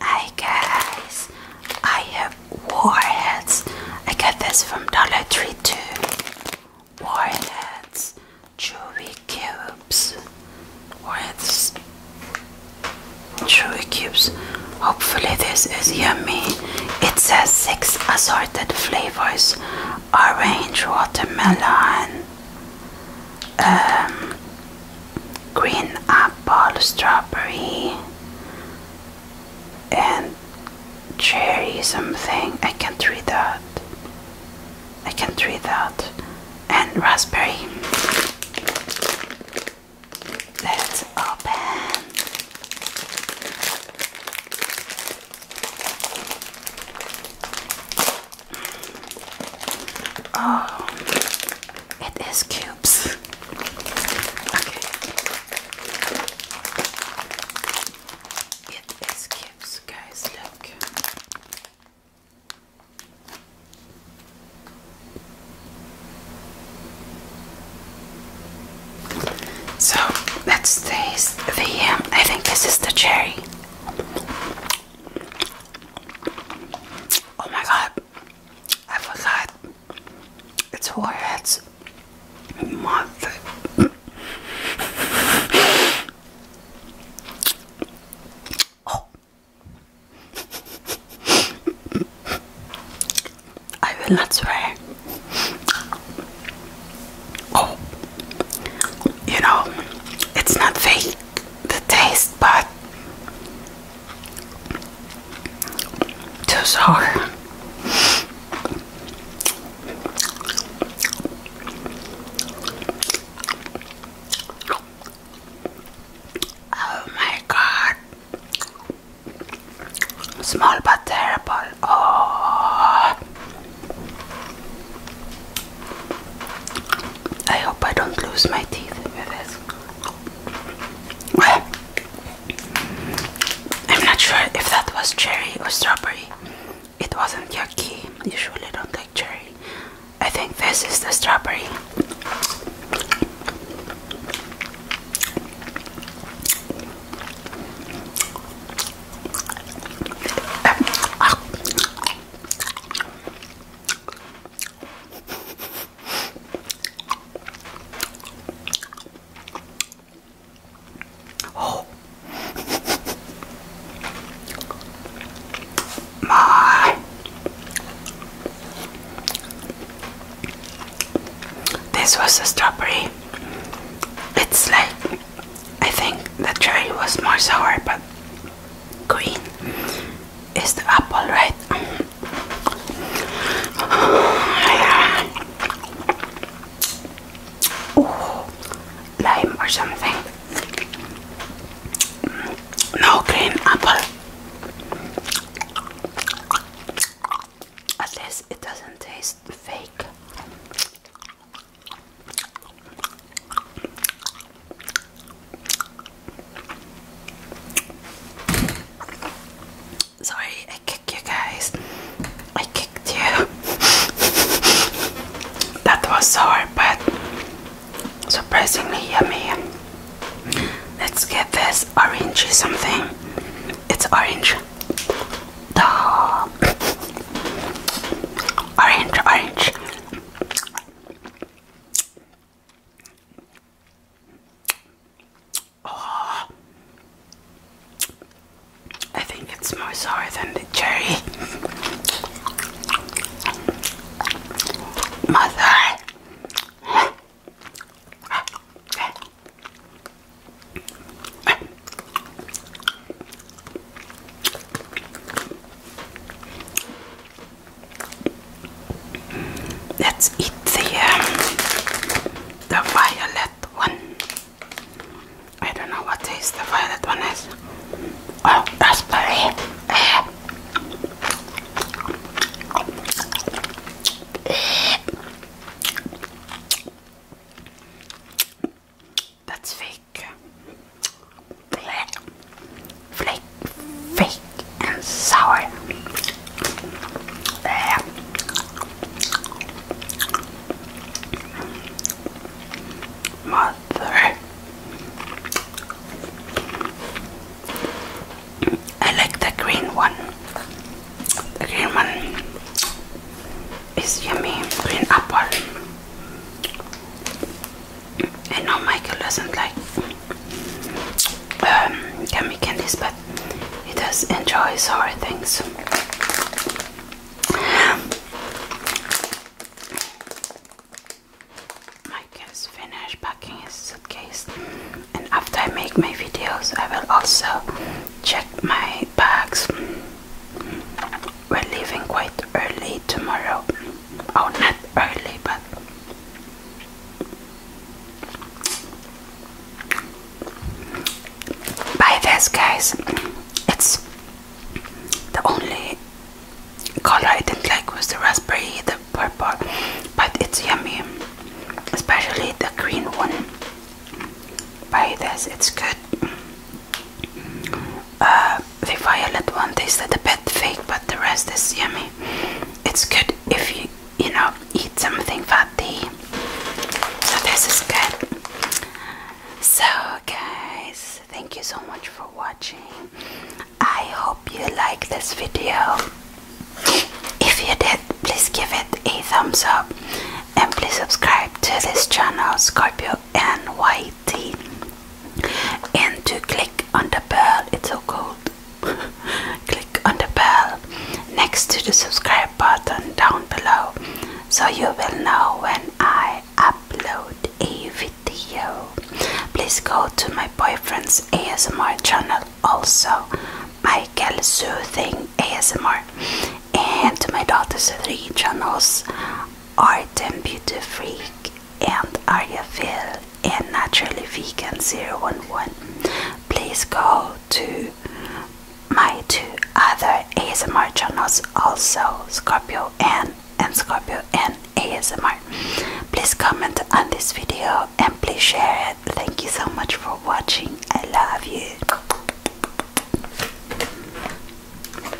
Hi guys, I have warheads. I got this from Dollar Tree too. Warheads, chewy cubes. Warheads, chewy cubes. Hopefully this is yummy. It says six assorted flavors: orange, watermelon. Um, green apple, strawberry, and cherry something. I can't read that. I can't read that. And raspberry. Let's open. Oh, it is cubes. Okay. It is cubes, guys. Look. So let's the. I think this is the cherry. Oh my god, I forgot. It's four heads. Month. Oh. I will not swear. Oh, you know, it's not fake the taste but too sour oh my god small but terrible oh I hope I don't lose my teeth with this. I'm not sure if that was cherry or strawberry. It wasn't yucky. Usually don't like cherry. I think this is the strawberry. Oh my this was a strawberry. It's like I think the cherry was more sour but green is the apple, right? lime or something. No green apple. At least it doesn't taste fake. Sorry, I kicked you guys. I kicked you. that was sour, but surprisingly yummy. Let's get this orangey something. It's orange. Duh. Orange, orange. Oh, I think it's more sour than the cherry. Mother. Let's eat the um, the violet one. I don't know what taste the violet one is. Oh, raspberry. That's fake. Flake, fake and sour. Blech. I like the green one. green one is yummy. Green apple. I know Michael doesn't like candy um, candies, but he does enjoy sour things. Michael's finished packing his suitcase, and after I make my videos, I will also check my bags we're leaving quite early tomorrow. Oh, not early, but buy this, guys. It's the only color I didn't like was the raspberry, the purple, but it's yummy, especially the green one. Buy this, it's good. Uh, the violet one tasted a bit fake, but the rest is yummy. It's good if you, you know, eat something fatty. So this is good. So guys, thank you so much for watching. I hope you like this video. If you did, please give it a thumbs up and please subscribe to this channel, Scorpio NYT and to click on the bell. It's so cold. click on the bell next to the subscribe button down below so you will know when I upload a video. Please go to my boyfriend's ASMR channel also, Michael Soothing ASMR, and to my daughter's three channels, Artem Beauty Freak and Ariafil and Naturally Vegan 011. Please go to my two other ASMR channels also Scorpio N and Scorpio N ASMR. Please comment on this video and please share it. Thank you so much for watching. I love you.